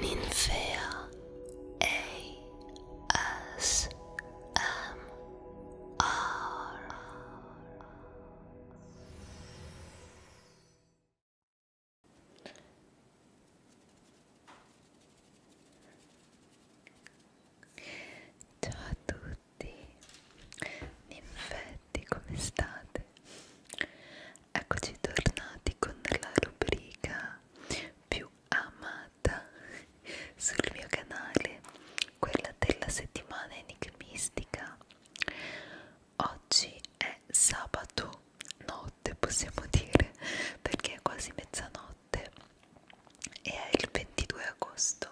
Ninfea ASMR Ciao a tutti, ninfetti, come state? niente eccoci tornati con la rubrica più amata sul mio canale quella della settimana enigmistica oggi è sabato notte possiamo dire perché è quasi mezzanotte e è il 22 agosto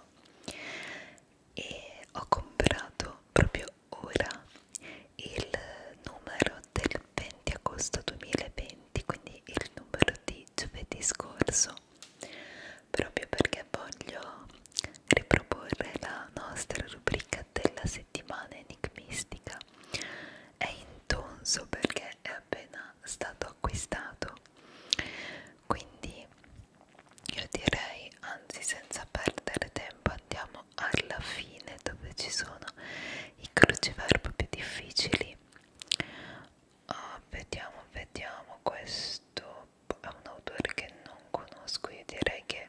e ho comprato proprio ora il numero del 20 agosto 2020, quindi il numero di giovedì scorso, proprio perché voglio riproporre la nostra rubrica della settimana enigmistica. È intonso perché è appena stato acquistato, quindi io direi, anzi senza perdere tempo, andiamo siamo alla fine dove ci sono i cruciverbi più difficili oh, vediamo vediamo questo è un autore che non conosco io direi che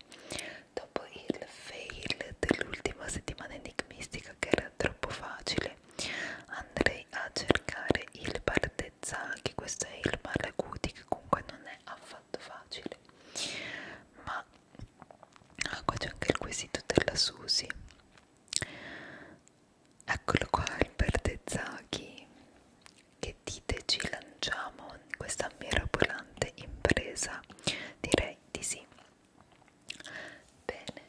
dopo il fail dell'ultima settimana enigmistica che era troppo facile andrei a cercare il Bartezzaghi questo è il Malaguti che comunque non è affatto facile ma Ah, qua c'è anche il quesito della Susi. Eccolo qua, il Bertezzacchi. Che dite ci lanciamo in questa mirabolante impresa? Direi di sì. Bene,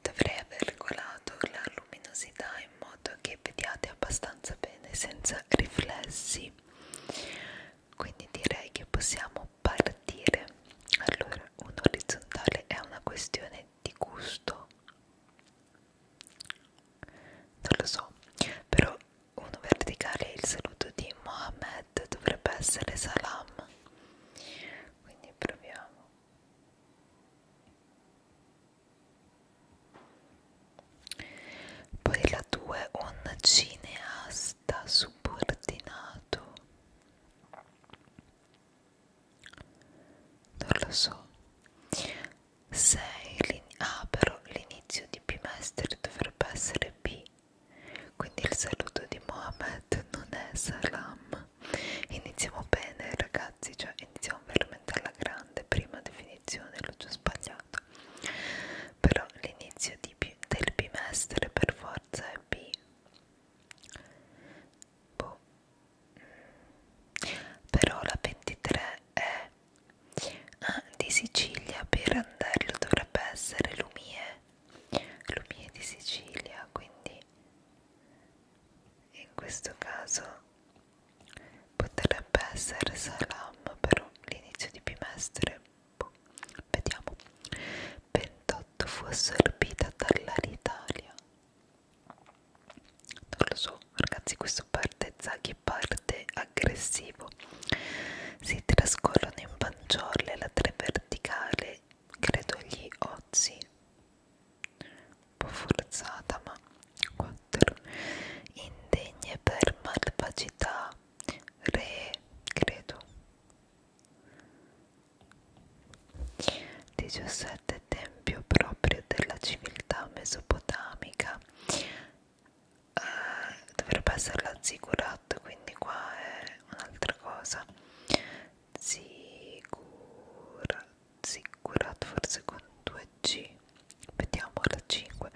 dovrei aver regolato la luminosità in modo che vediate abbastanza bene senza riflessi quindi direi che possiamo partire allora un orizzontale è una questione di gusto non lo so però uno verticale il saluto di Mohammed dovrebbe essere salam quindi proviamo poi la 2 un cineasta resta subordinato. Non lo so. Sei linea. Ah, però l'inizio di P Master dovrebbe essere P. Quindi il saluto di Mohamed non è salam. Iniziamo bene, ragazzi. Cioè, iniziamo veramente alla grande. Prima definizione, l'ho già sbagliato però l'inizio del bimestre per forza è B boh. però la 23 è ah, di Sicilia per Andello dovrebbe essere Lumie Lumie di Sicilia quindi in questo caso potrebbe essere Salam però l'inizio di bimestre tempo. Vediamo. 28 fu assorbita dall'Italia. Non lo so, ragazzi, questo parte Zaghi, parte aggressivo. Si trascorrono in panciolle la tre verticale, credo gli ozi. Un po' forzata, ma 4. Indegne per malvagità re credo 17 tempio proprio della civiltà mesopotamica uh, dovrebbe essere la zigurat quindi qua è un'altra cosa zigurat zigurat forse con 2g vediamo la 5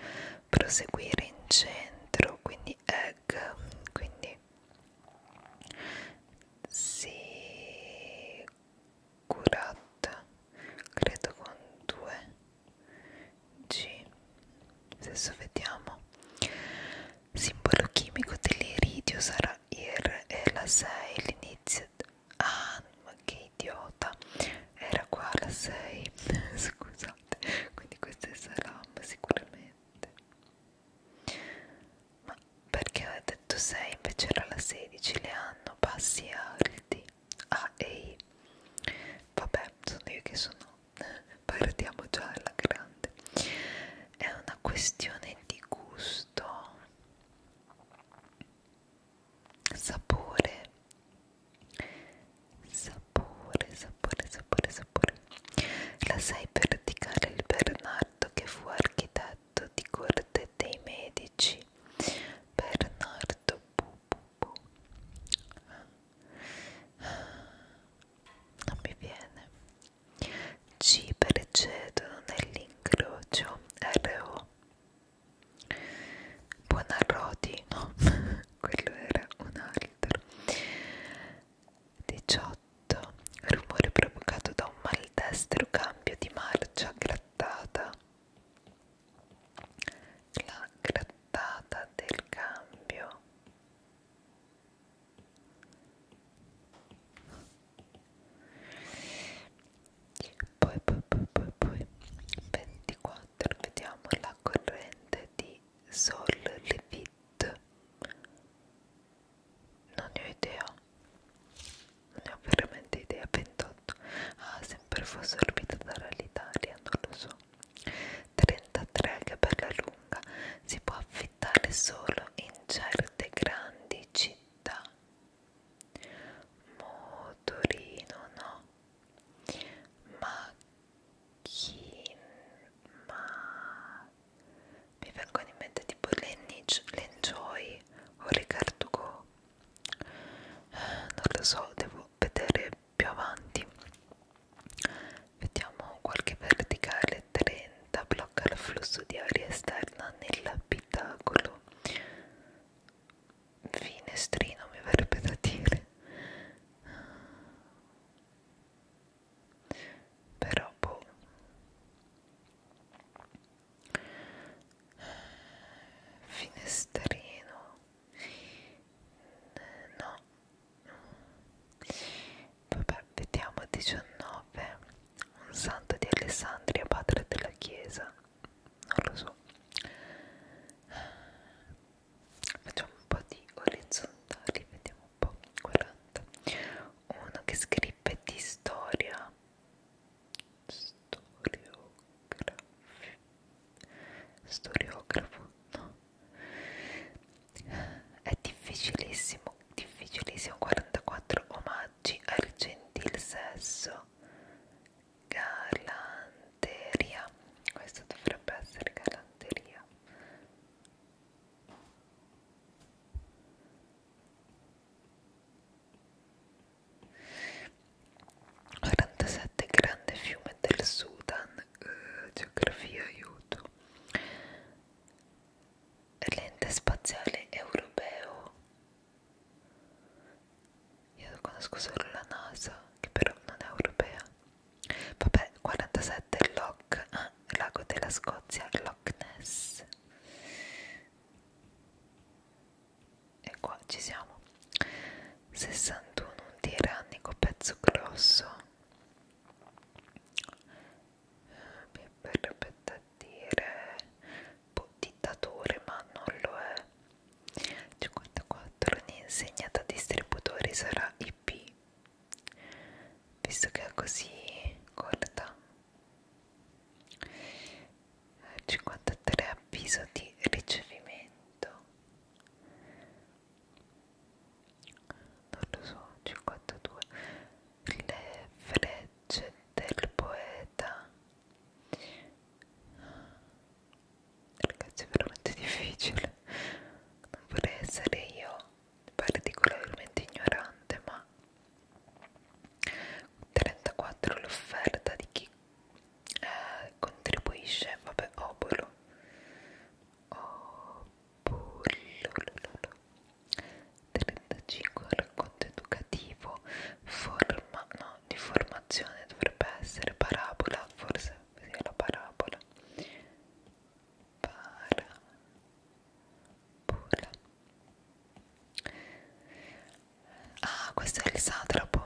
proseguire in centro quindi di egg quindi si curata credo con 2 g adesso vediamo simbolo chimico dell'iridio sarà ir e la 6 l'inizio ah ma che idiota era qua la 6 scusa latte quindi questo è salam sicuramente ma perché aveva detto 6 invece era la 16 le hanno bassi alti A ah, e I vabbè sono io che sono partiamo già alla grande è una questione di gusto sapore Sapore, sapore, sapore, sapore. La sai verticale il Bernardo che fu architetto di corte dei medici. Bernardo bu, bu, bu. Ah, non mi viene. C precedono nell'incrocio RO. Buonarroti, no? quello era un altro 18 rumore provocato da un maldestro cambio di marcia grattata la grattata del cambio poi poi poi poi poi 24 vediamo la corrente di di Sol Levit non ne ho idea non ne ho veramente idea 28 ah sempre fu assorbita dall'Italia non lo so 33 che bella lunga si può affittare solo in certe grandi città motorino no ma Kim ma mi vengono in mente tipo l'Enjoy o Ricard Go eh, non lo so devo vedere più avanti vediamo qualche verticale 30 blocca il flusso di aria esterna nell'abitacolo finestrino mi verrebbe da dire però boh finestrino no vabbè vediamo 19 un santo di Alessandria padre della chiesa non lo so facciamo un po' di orizzontali vediamo un po' 40 uno che scrive di storia storiografo storiografo no è difficilissimo difficilissimo 44 omaggi al gentil sesso Garland galanteria questo dovrebbe essere galanteria quarantasette grande fiume del Sudan uh, geografia aiuto l'ente spaziale europeo io conosco solo la NASA che però non è europea Vabbè, 47 Loch, ah, lago della Scozia, Loch Ness. E qua ci siamo. 61 un tirannico pezzo grosso. Mi verrebbe da dire boh, dittatore, ma non lo è. 54 un'insegnata distributori sarà IP visto che è così corta 53 avviso di ricevimento non lo so 52 le frecce del poeta ragazzi è veramente difficile non vorrei essere io particolarmente ignorante ma 34 l'offerta di chi eh, contribuisce vabbè obolo obolo 35 racconto educativo forma no di formazione dovrebbe essere parabola forse così la parabola parabola ah questo è il satrapo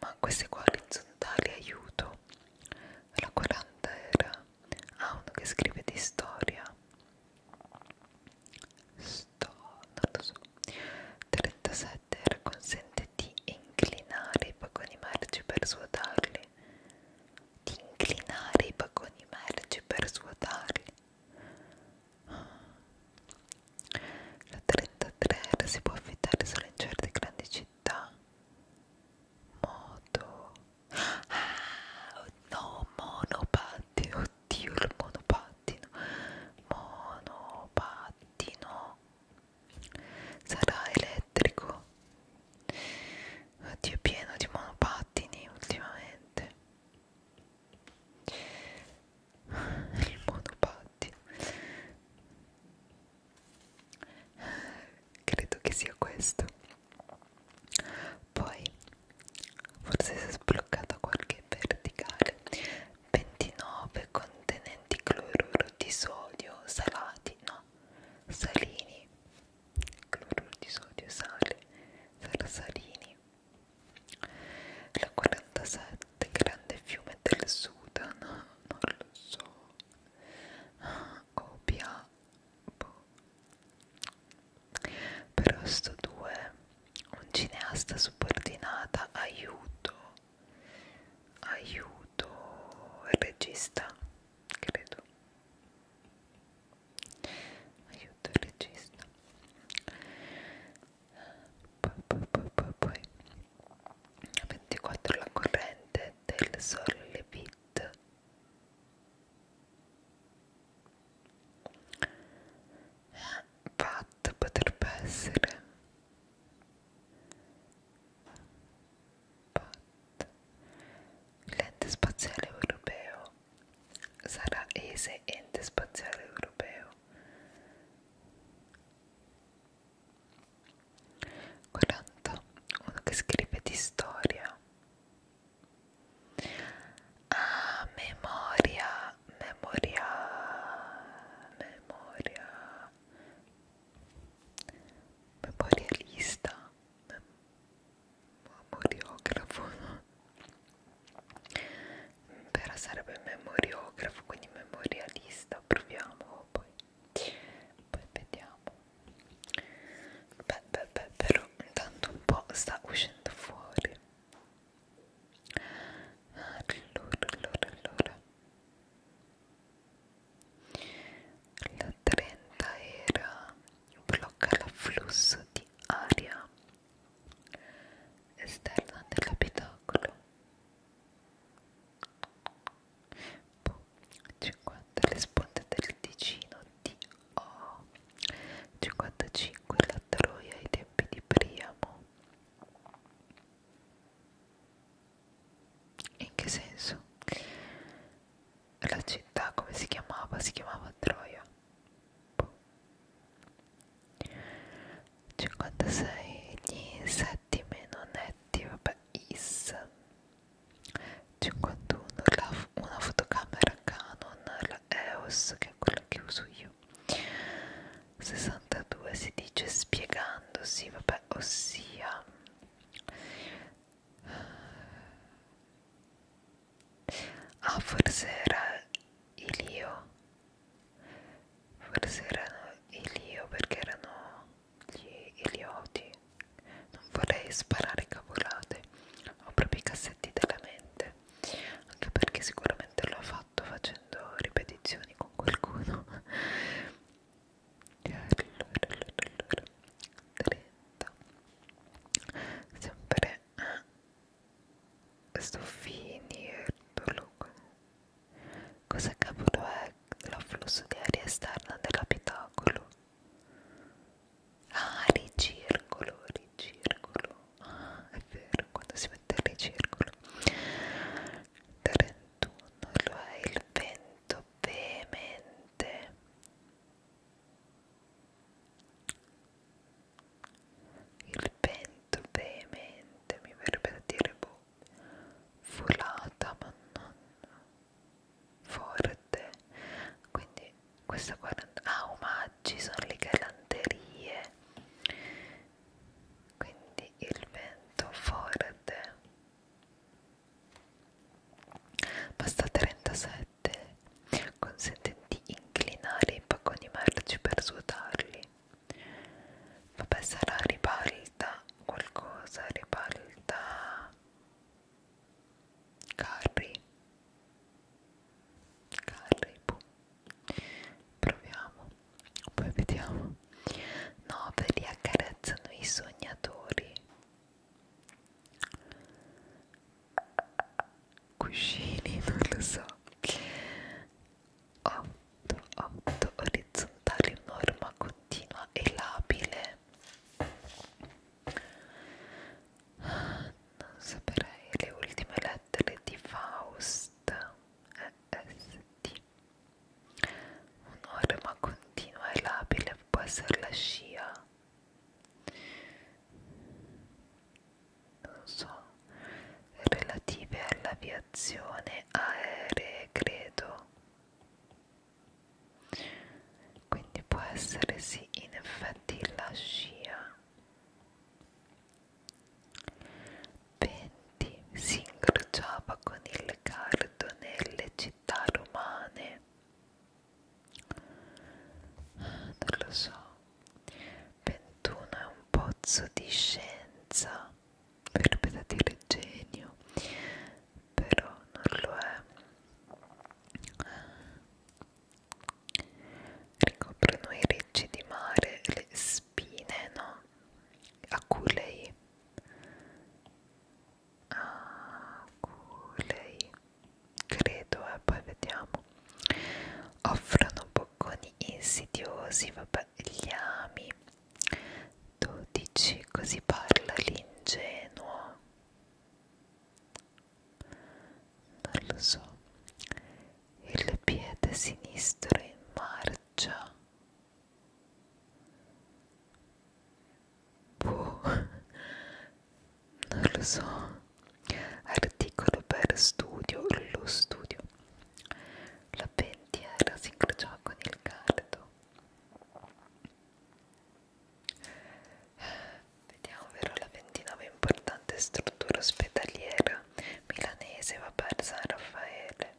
ma queste qua orizzontali aiuto la 40 era Ah, uno che scrive di storia. Sto, non lo so. 37 era consente di inclinare i vagoni merci per svuotarli. Di inclinare i vagoni merci per svuotarli. La 33 era si può affittare solo in certe grandi città. Moto Ah, no, monopatti, oddio il monopattino, monopattino, sarà elettrico, oddio è pieno di monopattini ultimamente, il monopattino, credo che sia questo poi forse si è sbloccata qualche verticale 29 contenenti cloruro di sodio salati no salini cloruro di sodio sale sarà salini la 47 grande fiume del Sudan non lo so OPA boh. però sto 2 un cineasta subordinata aiuto aiuto il regista credo aiuto il regista poi poi poi poi poi 24 la corrente del Solvit Pat potrebbe essere Pat l'ente spaziale europeo sarà ESE ente spaziale europeo Quaranta, uno che scrive di storia Ah, memoria, memoria, memoria, memorialista, mem memoriografo, no? però sarebbe memoriografo, quindi memorialista, proviamo poi, poi vediamo beh beh beh però intanto un po' sta uscendo fuori allora allora allora la 30 era blocca l'afflusso di aria esterna dell'abitacolo boh, 50 le sponde del Ticino di O 55 la Troia ai tempi di Priamo in che senso? la città come si chiamava? si chiamava Troia 56 gli insetti meno netti vabbè is 51 la, una fotocamera Canon la EOS che è quella che uso io 62 si dice spiegandosi vabbè ossia ah forse era Ilio forse erano Ilio perché erano gli Ilioti non vorrei sparare cavolate, ho proprio i cassetti della mente, anche perché sicuramente l'ho fatto facendo ripetizioni con qualcuno. Allora, allora, allora, 30. Sempre Stoffini, Ertologo. Cosa cavolo è l'afflusso di aria esterna dell'abitacolo? Ah, ricircolo, ricircolo. Ah, è vero, quando si mette il ricircolo. 31 lo è il vento veemente. Il vento veemente mi verrebbe da dire boh, volata, ma non forte quindi questa 40 ah omaggi sono le galanterie quindi il vento forte basta 37 consente di inclinare i pacconi merci per svuotarli vabbè sarà ribalta qualcosa ribalta Carri Carri boh. Proviamo Poi vediamo 9 li accarezzano i sognatori Cuscini, non lo so 8, 8 orizzontali, norma continua e labile non saprei le ultime lettere di Faust EST un'ora ma continua e labile può essere la scia non so relative all'aviazione aeree credo quindi può essere sì in effetti la scia 20 si incrociava con il cardo nelle città romane non lo so 21 è un pozzo di scienza verrebbe da dire genio però non lo è ricoprono i ricci di mare le spine no? aculei aculei credo e eh, poi vediamo offrono bocconi insidiosi vabbè gli ami 12 così parla l'ingenuo non lo so il piede sinistro in marcia boh non lo so articolo per studio lo studio la pendiera si incrociò con il cardo Vediamo, vero la ventinove importante struttura ospedaliera milanese va per San Raffaele.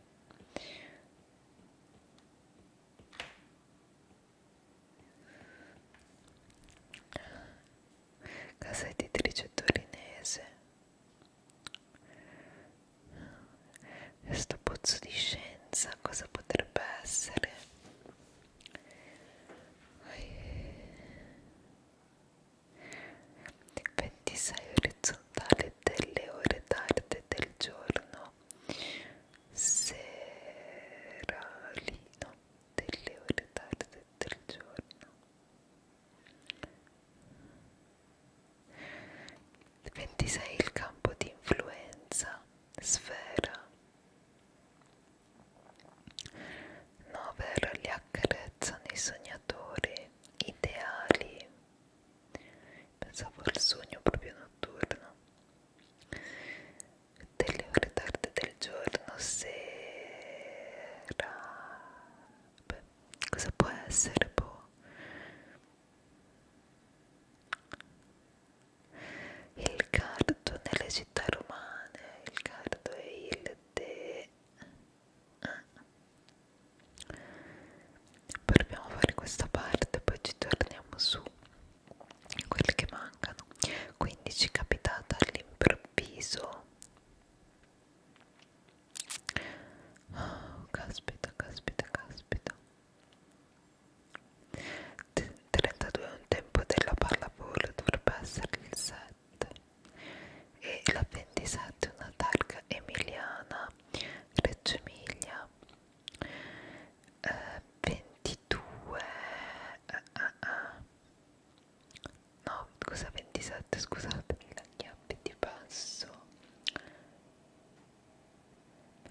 Casa editrice torinese. Questo pozzo di scienza cosa potrebbe essere? 26 orizzontale delle ore tarde del giorno seralino delle ore tarde del giorno 26 il campo di influenza sfera Nover li accarezzano i sognatori ideali. Pensavo al sogno proprio notturno. Delle ore tarde del giorno, sera. Beh, cosa può essere? Boh. Il cardo nelle città romane, il cardo e il de... Proviamo a fare questa parte, poi ci torniamo su quelli che mancano. 15 capitata all'improvviso. Oh, caspita, caspita, caspita. 32 è un tempo della pallavolo, dovrebbe essere il 7 e la 27 è una targa emiliana, Reggio Emilia eh, 22 eh, eh, eh. no scusa 27 scusatemi la chiave di passo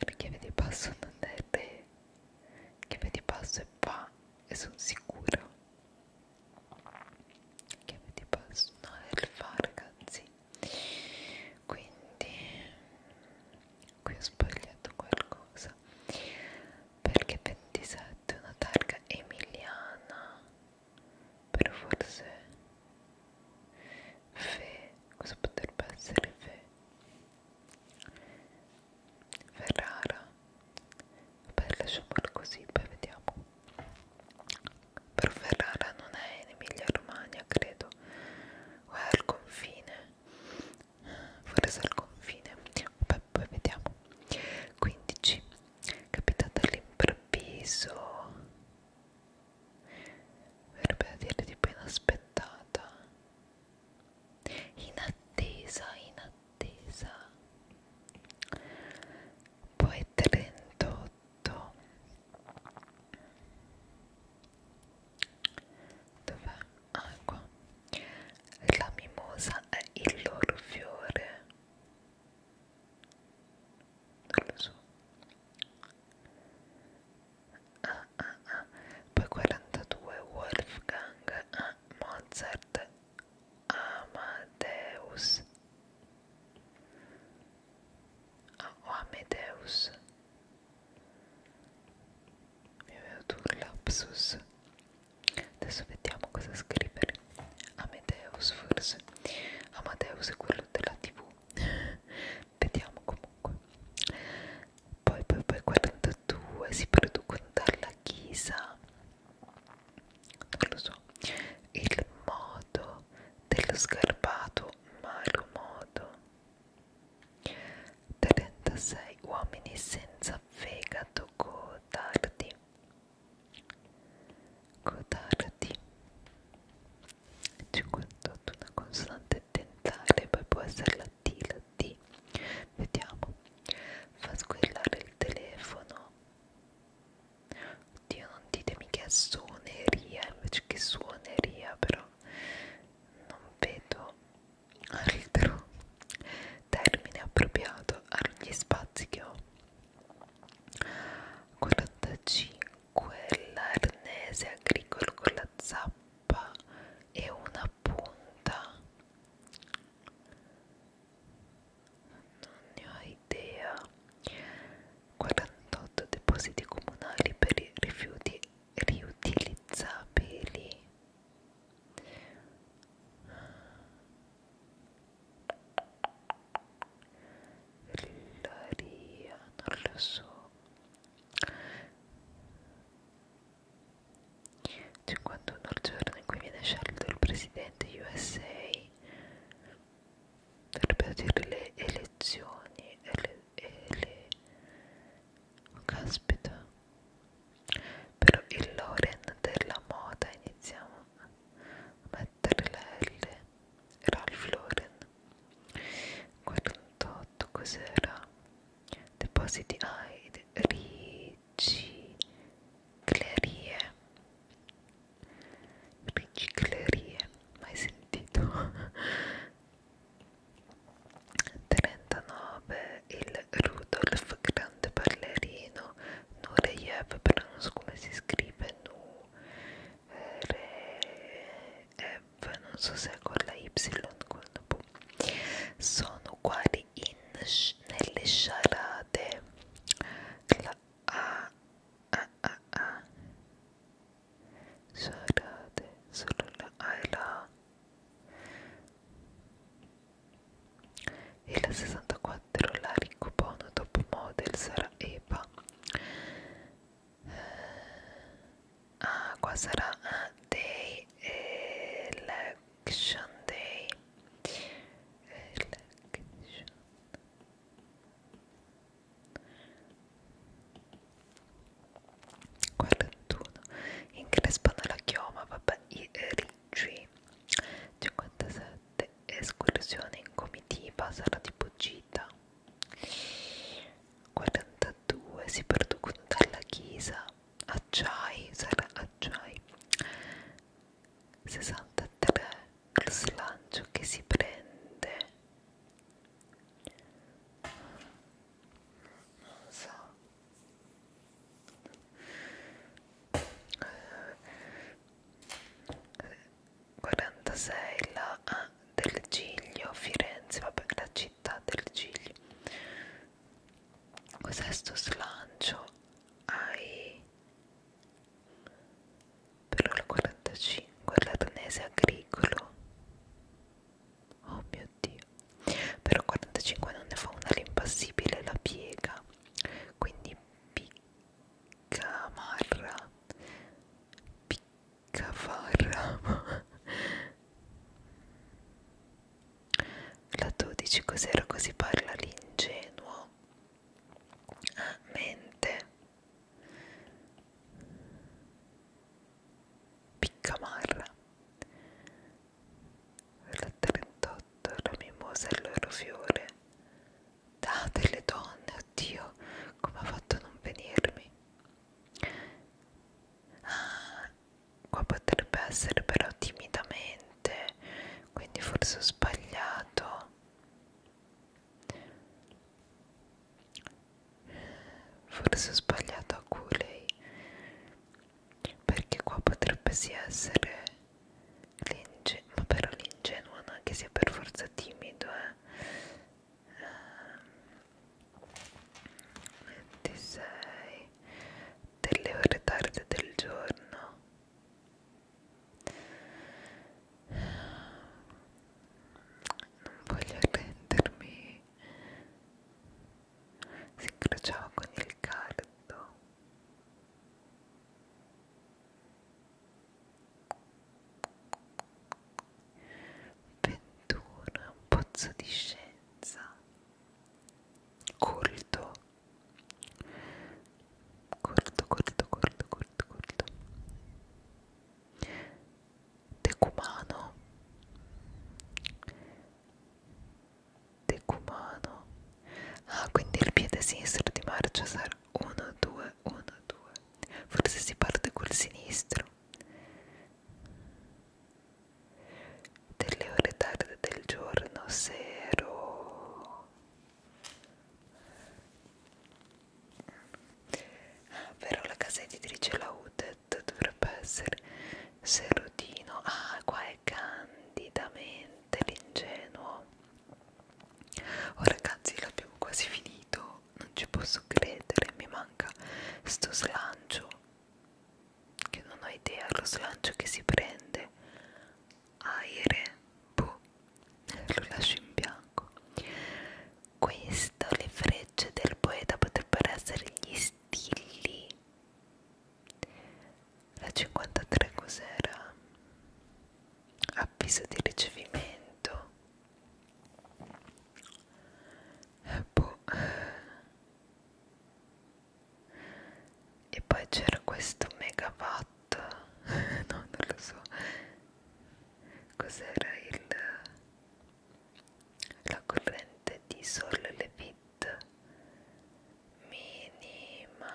la chiave di passo non è re la chiave di passo è fa e sono sicuro la chiave di passo no è il fa ragazzi quindi qui ho sbagliato qualcosa perché 27 è una targa emiliana però forse fe cosa potrebbe essere fe Ferrara per lasciamolo così poi vediamo per Ferrara non è in Emilia Romagna credo o è al confine forse al confine poi, poi vediamo 15 capitata all'improvviso verrebbe a dire tipo inaspettata in attesa, in attesa. Poi 38. Dov'è? Ah, qua. La mimosa è il loro fiore. Non lo so ah, ah, ah. poi 42 Wolfgang ah, Mozart Amadeus ah, o Amedeus mi è venuto un lapsus adesso vediamo cosa scrivere Amedeus forse Amadeus è quello della tv vediamo comunque poi poi poi 42 si producono dalla chisa non lo so il modo dello sgarbato malo modo 36 uomini senza fegato codardi codardi 58 una consonante dentale poi può essere la mattina di vediamo fa squillare il telefono oddio non ditemi che è suoneria invece che suoneria però non vedo altro termine appropriato agli spazi che ho 45 l'arnese agricolo con la zappa e una punta non ne ho idea 48 depositi comunali per i rifiuti riutilizzabili Rillaria, non lo so 51 il giorno in cui viene scelto il presidente USA per perdere le elezioni e le, e le oh, caspita però il Loren della moda iniziamo a mettere la L Ralph Lauren 48 cos'era? depositi AID, riciclerie, riciclerie, mai sentito? 39 il Rudolf grande ballerino Nureyev, però non so come si scrive Nu, Re, F, non so se è con la Y, con la B, sono uguali in, nelle sciarate. La A, A, A, A, sciarate, solo la A e la A. E la 64 la ricopono top model sarà Eva ah qua sarà day election day election Quarantuno increspano la chioma, vabbè, i eh, ricci 57 escursione in comitiva, sarà tipo gita 42 si perducono dalla chiesa acciai sarà acciai 63 lo slancio che si prende non so eh, 46 la ah, del Giglio, Firenze, vabbè, la città del Giglio. Cos'è sto slancio? Ai però il 45 l'Arnese agricolo. Oh mio dio. Però 45 non ne fa una l'impassibile la piega. Quindi piccamarra. Piccamarra Cafarra La 12 cos'era così parla l'ingenuo ah, Mente Piccamarra La 38 La mimosa e l'oro fiore Ah, delle donne, oddio, come ha fatto a non venirmi? ah, qua potrebbe essere però timidamente quindi forse ho sbagliato forse ho sbagliato a culei perché qua potrebbe sì essere l'ingenuo ma però l'ingenuo non è che sia per forza timido eh 26 delle ore tarde del giorno non voglio arrendermi si incrociava con il cardo 21 un pozzo di scienza colto corto corto corto corto corto decumano decumano ah quindi il piede sinistro di marcia sarà 1 2 1 2 forse si parte col sinistro delle ore tarde del giorno se ero ah, però la casa editrice la UDET dovrebbe essere Serotino ah qua è candidamente l'ingenuo oh ragazzi l'abbiamo quasi finito non ci posso credere, mi manca sto slancio che non ho idea, lo slancio che si prende aire, boh, lo lascio in bianco questo, le frecce del poeta potrebbero essere gli stilli la 53 cos'era? avviso di ricevimento boh. e poi c'era questo megawatt no non lo so cos'era il la corrente di Sol Levit minima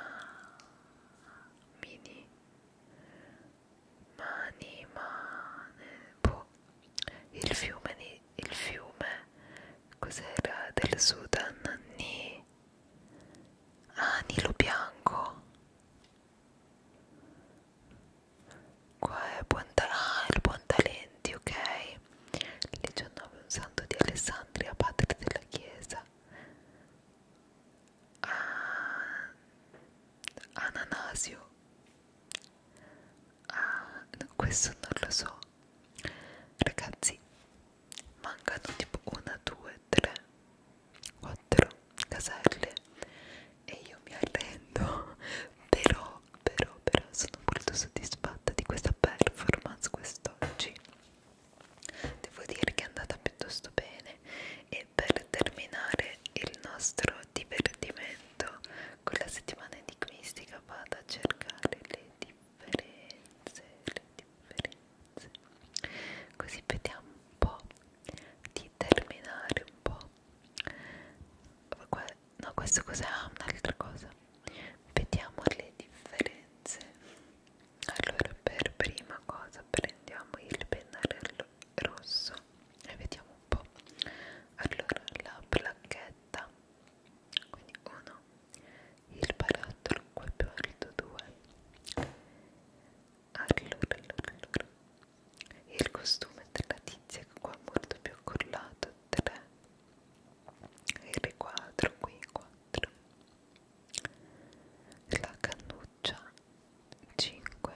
mini manimane boh il fiume, di, il fiume cos'era del Sudan? Ni, ah, Nilo Bianco. Qua è buon ah, il buon talenti, ok? Lì c'è un nome, un santo di Alessandria, padre della chiesa. Ah, Ananasio ah, questo non lo so ragazzi mancano tipo una, due, tre, quattro caselle e io mi arrendo però, però, però sono molto soddisfatta di questa performance quest'oggi devo dire che è andata piuttosto bene e per terminare il nostro divertimento quella settimana enigmistica vado a cercare le differenze, le differenze così vediamo un po' di terminare un po' no questo cos'è? Ah, un'altra cosa vediamo le differenze allora per prima cosa prendiamo il pennarello rosso e vediamo un po' allora la placchetta quindi 1 il barattolo qua più alto 2 allora, allora, allora il costume della tizia che qua è molto più accollato 3 il riquadro qui 4 la cannuccia 5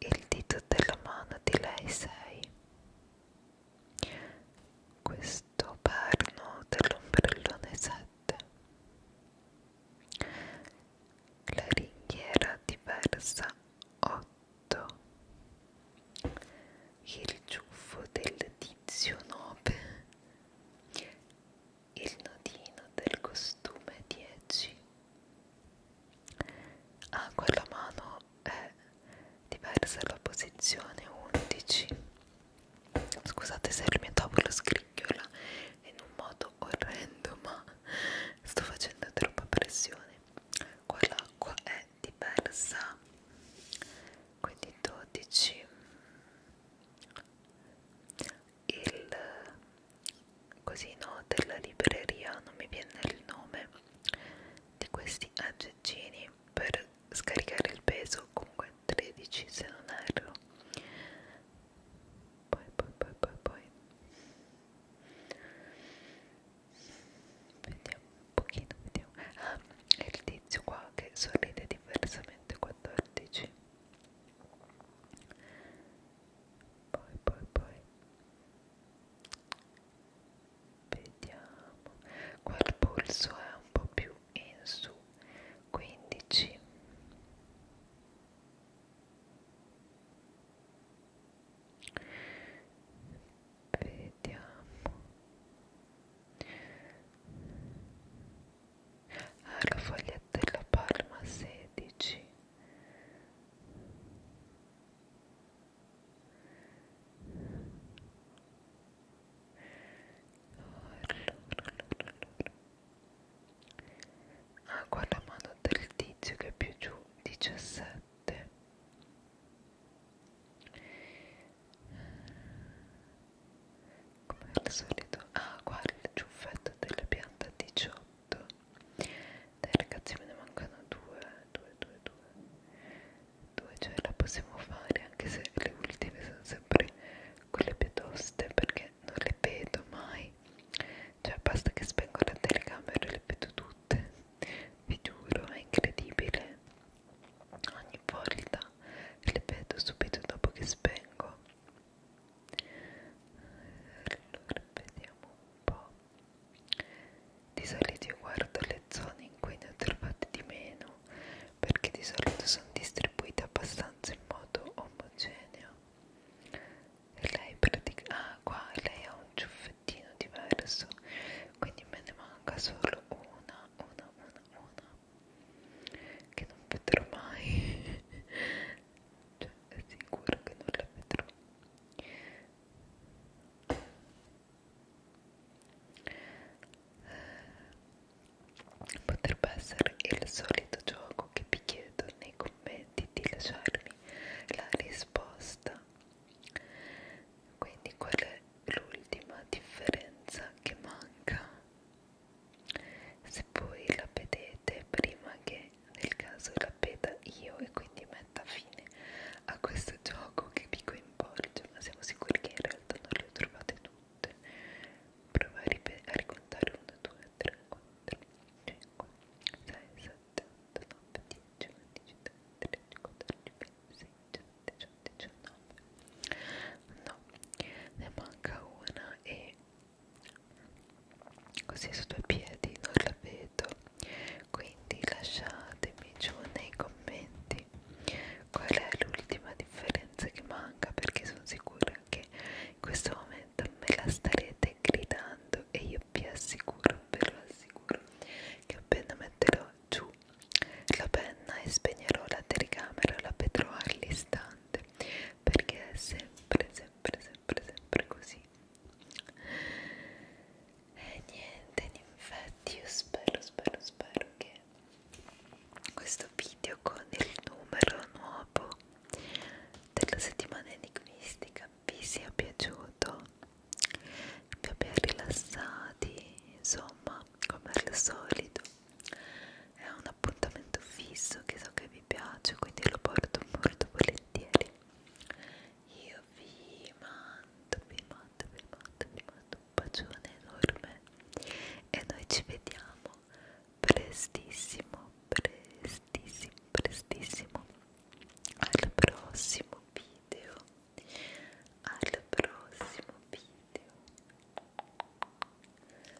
il dito della mano di lei sei. Questo perno dell'ombrellone 7. La ringhiera diversa 8. Il ciuffo del tizio 9. Il nodino del costume 10. Acqua ah, alla mano è diversa la posizione 11. Scusate se il mio tavolo scricchiola in un modo orrendo, ma sto facendo troppa pressione. Qua l'acqua è diversa, quindi 12 il cosino della libreria, non mi viene il nome di questi aggeggini per scaricare il peso, comunque 13 se non erro. Poi poi poi poi poi vediamo un pochino, vediamo. Ah, è il tizio qua che sorride diversamente 14 poi poi poi vediamo qua il polso è un po' più in su 15 vediamo ah, la foglietta della palma 16 allora, ah, Acqua alla mano del tizio che è più giù 17 come al solito ah qua il ciuffetto della pianta 18 8 dai ragazzi me ne mancano due due due due due cioè la possiamo fare anche se le ultime sono sempre quelle più toste perché non le vedo mai cioè basta che spengo la telecamera e le vedo tutte vi giuro è incredibile ogni volta le vedo subito dopo che spengo allora vediamo un po' di solito io guardo le zone in cui ne ho trovate di meno perché di solito sono distribuite abbastanza in modo omogeneo e lei pratica ah qua lei ha un ciuffettino diverso quindi me ne manca solo una una una una che non vedrò mai cioè è sicura che non la vedrò potrebbe essere il solito gioco che vi chiedo nei commenti di lasciarmi la risposta quindi qual è l'ultima differenza che manca se voi la vedete prima che nel caso la peta io e quindi metta fine a questo gioco che vi coinvolge ma siamo sicuri che in realtà non le ho trovate tutte prova a, a ricontare 1, 2, 3, 4, 5, 6, 7, 8, 9, 10, 11, 13, 14, 15, 16, 17, 18, 19 no, ne manca una e così su due piedi non la vedo quindi lasciatemi giù nei commenti qual è l'ultima differenza che manca perché sono sicura che in questo momento me la starete gridando e io vi assicuro ve lo assicuro che appena metterò giù la penna e spegnerò la telecamera la vedrò all'istante perché è sempre sempre sempre sempre sempre così e niente infatti io spero spero spero che questo video con il numero nuovo della settimana enigmistica vi sia piaciuto vi abbia rilassati insomma come al solito è un appuntamento fisso che so che vi vi piace quindi lo porto molto volentieri io vi mando vi mando vi mando vi mando un bacione enorme e noi ci vediamo prestissimo prestissimo prestissimo al prossimo video al prossimo video